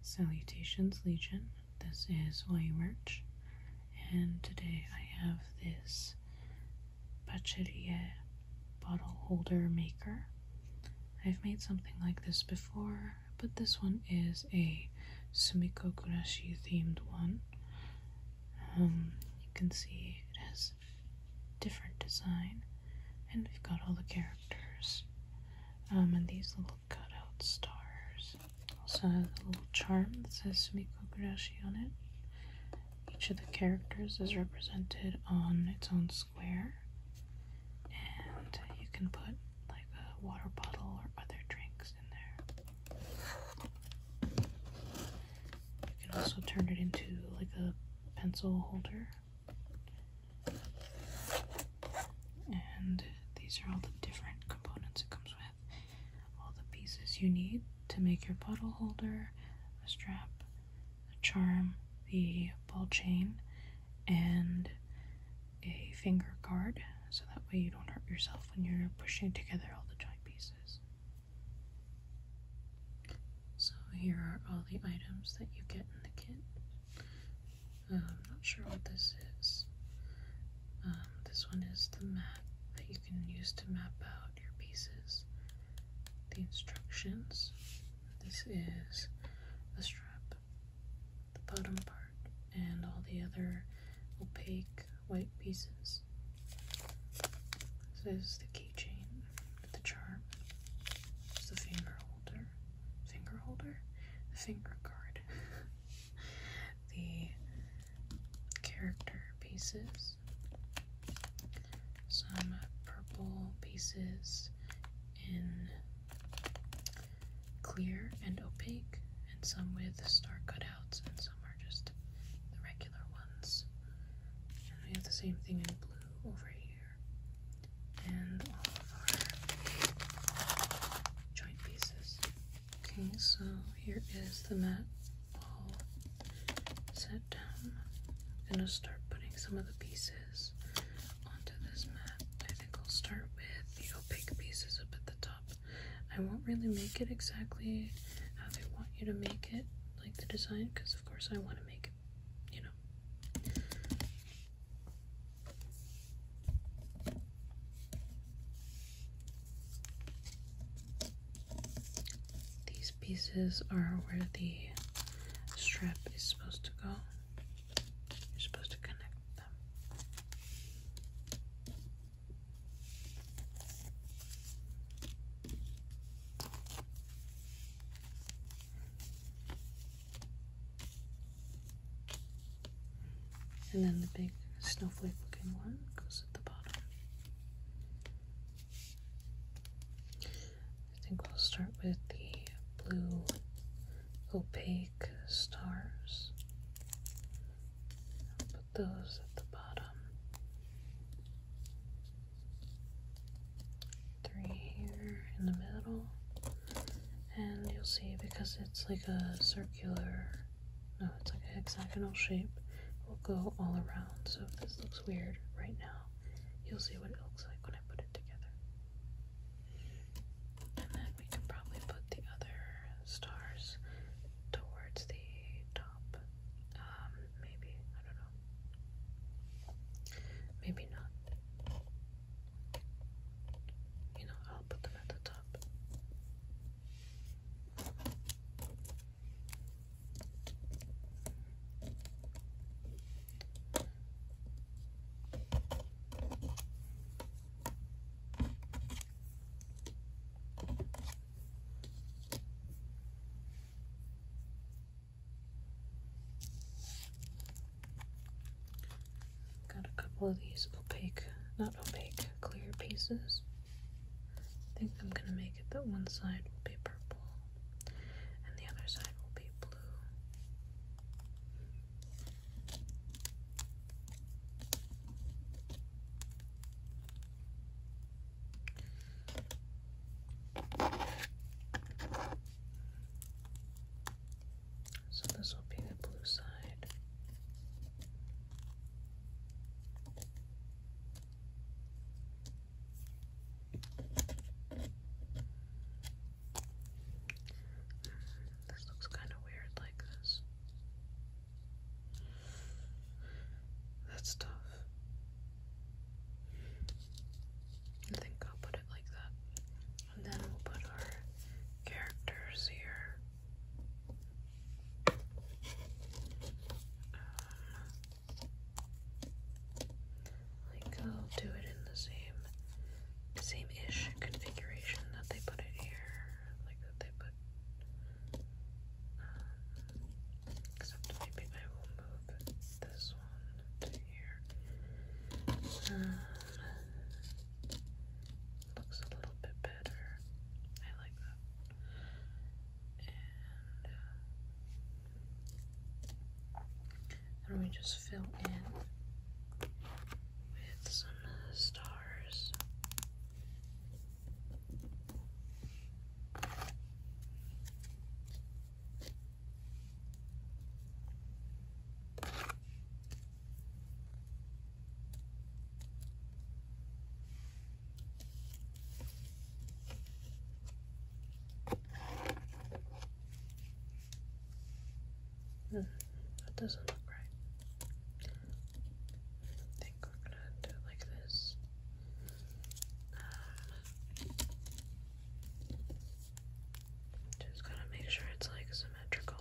Salutations Legion, this is YU Merch, and today I have this Pacherie bottle holder maker. I've made something like this before, but this one is a Sumiko Kurashi themed one. Um, you can see it has different design, and we've got all the characters. Um, and these little cutout stars. Also has a little charm that says Sumiko on it. Each of the characters is represented on its own square, and you can put like a water bottle or other drinks in there. You can also turn it into like a pencil holder. And these are all the different components it comes with. All the pieces you need to make your bottle holder, a strap, a charm, the ball chain, and a finger guard so that way you don't hurt yourself when you're pushing together all the joint pieces. So here are all the items that you get in the kit. I'm um, not sure what this is. Um, this one is the map that you can use to map out your pieces. The instructions. This is the strap, the bottom part, and all the other opaque white pieces. This is the keychain the charm. the finger holder. Finger holder? finger guard. the character pieces. Some purple pieces in clear and opaque, and some with star cutouts, and some are just the regular ones. And we have the same thing in blue over here and all of our joint pieces. Okay, so here is the mat all set down. I'm gonna start putting some of the pieces onto this mat. I think I'll start with the opaque pieces up at the top. I won't really make it exactly how they want you to make it, like the design, because of course I want to make it you know. These pieces are where the strap is supposed to go. You're supposed to connect them. And then the big snowflake looking one goes at the bottom. I think we'll start with the blue opaque stars. put those at the bottom three here in the middle, and you'll see because it's like a circular, no, it's like a hexagonal shape, it will go all around. So if this looks weird right now, you'll see what it looks like when I put it together. And then we can probably put the other stars towards the top. Um, maybe I don't know. Maybe not. You know, I'll put them at the top. Got a couple of these opaque, not opaque, clear pieces. I think I'm going to make it that one side will be purple and the other side will be blue. So this will be the blue side. This looks kind of weird like this. That's tough. I think I'll put it like that. And then we'll put our characters here. Um, I'll do it in the same same-ish configuration that they put it here like that they put except maybe I will move this one to here uh, looks a little bit better I like that and uh, then we just fill in with some stars. Hmm, that doesn't look right. I think we're gonna do it like this. just gotta make sure it's like symmetrical.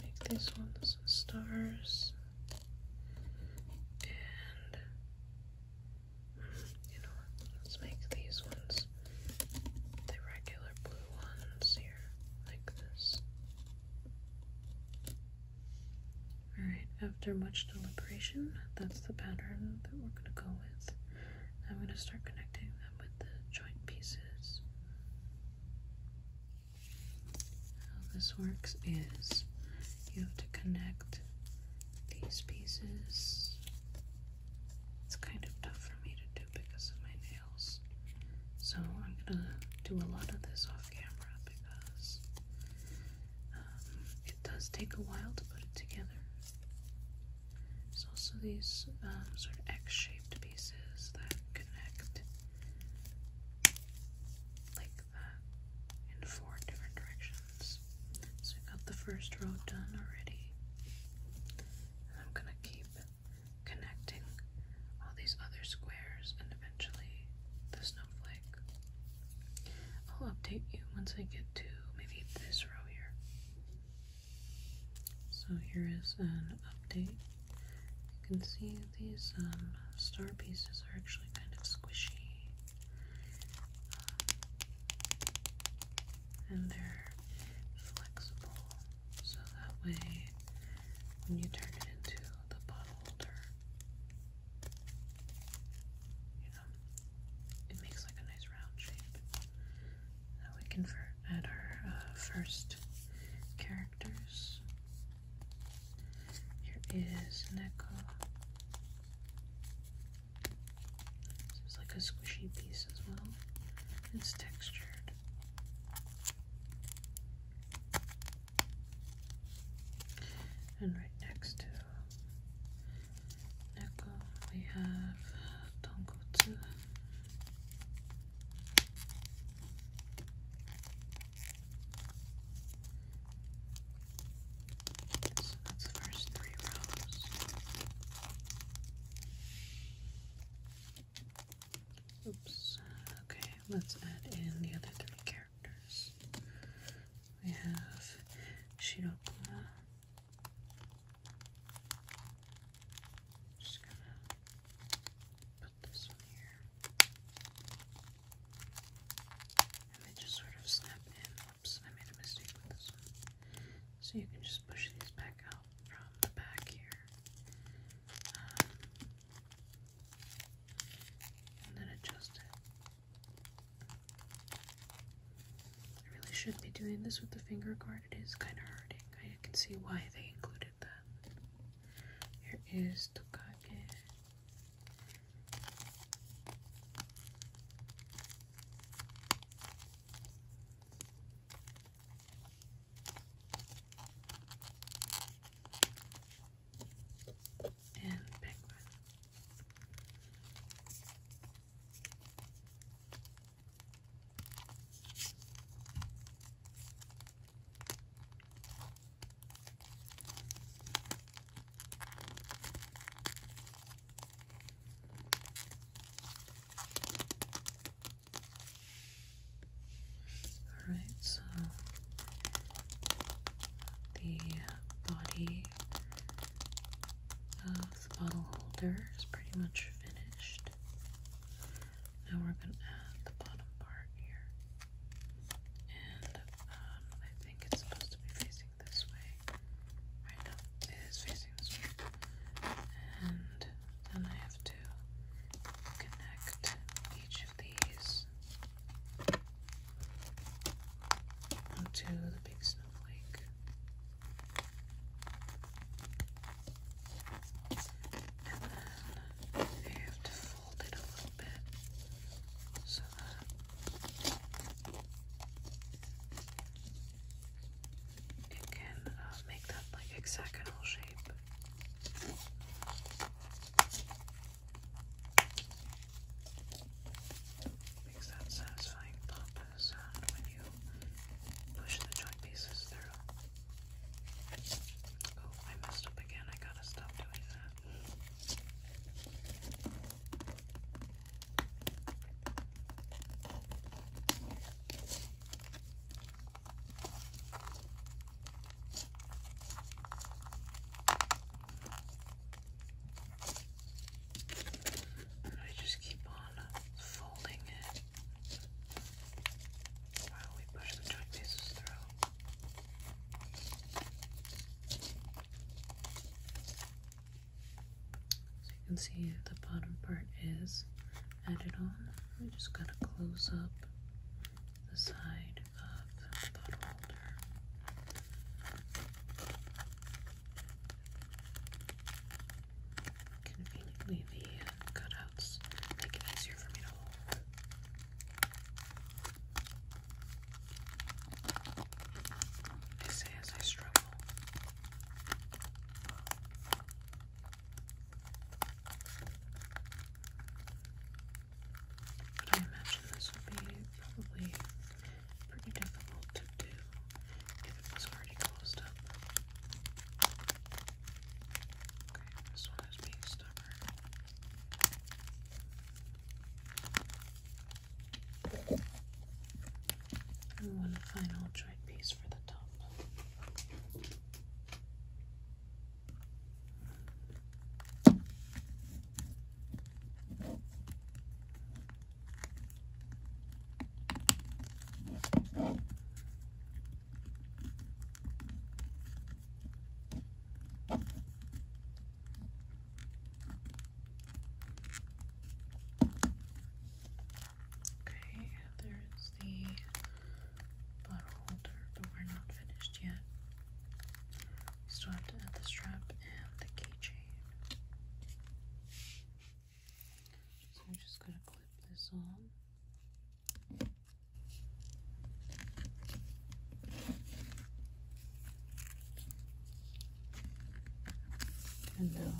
Make this one stars. And mm, you know Let's make these ones the regular blue ones here, like this. Alright, after much deliberation, that's the pattern that we're going to go with. I'm going to start connecting them with the joint pieces. How this works is you have to connect these pieces. It's kind of tough for me to do because of my nails. So I'm going to do a lot of this off camera because um, it does take a while to put it together. There's also these um, sort of X-shaped pieces that connect like that uh, in four different directions. So I got the first row done already. I'm gonna keep connecting all these other squares and eventually the snowflake. I'll update you once I get to maybe this row here. So here is an update. You can see these um, star pieces are actually kind of squishy. Uh, and they're flexible. So that way when you turn it into the bottle holder, it makes like a nice round shape. Now we can add our uh, first characters. Here is Neko. This like a squishy piece as well. It's textured. And right next to Echo, we have Tonkotsu. So that's the first three rows. Oops. Okay, let's add in the other three characters. We have Shirokuma, just gonna put this one here. And they just sort of snap in. Oops, I made a mistake with this one. So you can just push these back out from the back here. Um, and then adjust it. I really should be doing this with the finger guard. It is kind of hurting. I can see why they included that. Here is Tokage. And penguin. All right, so the body the bottle holder is pretty much finished. Now we're going to add the bottom part here. And um, I think it's supposed to be facing this way. Right now it is facing this way. And then I have to connect each of these onto the big snowflake. And then I have to fold it a little bit so that it can uh, make that like hexagonal shape. Makes that satisfying pop sound uh, when you push the joint pieces through. Oh, I messed up again. I gotta stop doing that. I just keep on uh, folding it while we push the joint pieces through. So you can see the bottom part is added on. We just gotta close up the side Conveniently, the uh, cutouts make it easier for me to hold. I say as I struggle. But I imagine this would be probably pretty difficult to do if it was already closed up. Okay, this one is being stubborn. And one final joint piece for the top. Okay, there's the bottle holder, but we're not finished yet. still have to add the strap and the keychain. So I'm just going to clip this on. And now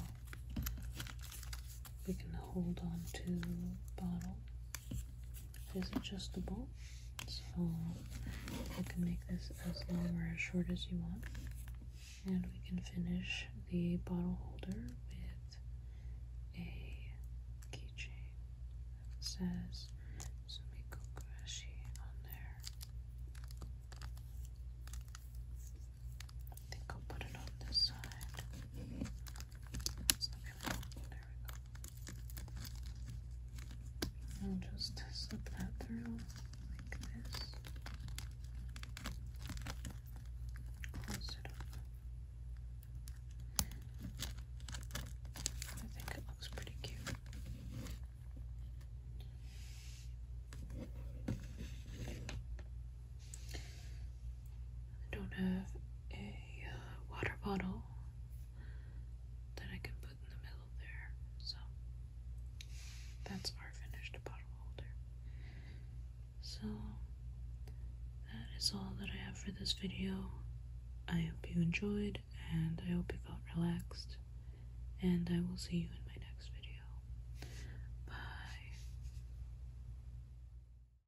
we can hold on to the bottle is adjustable so you can make this as long or as short as you want and we can finish the bottle holder with a keychain that says Sumikokurashi on there I think I'll put it on this side there we go i just slip that through like this. I think it looks pretty cute. I don't have a uh, water bottle that I can put in the middle there. So that's our finished bottle holder. So that is all that I have for this video. I hope you enjoyed and I hope you felt relaxed. And I will see you in my next video. Bye.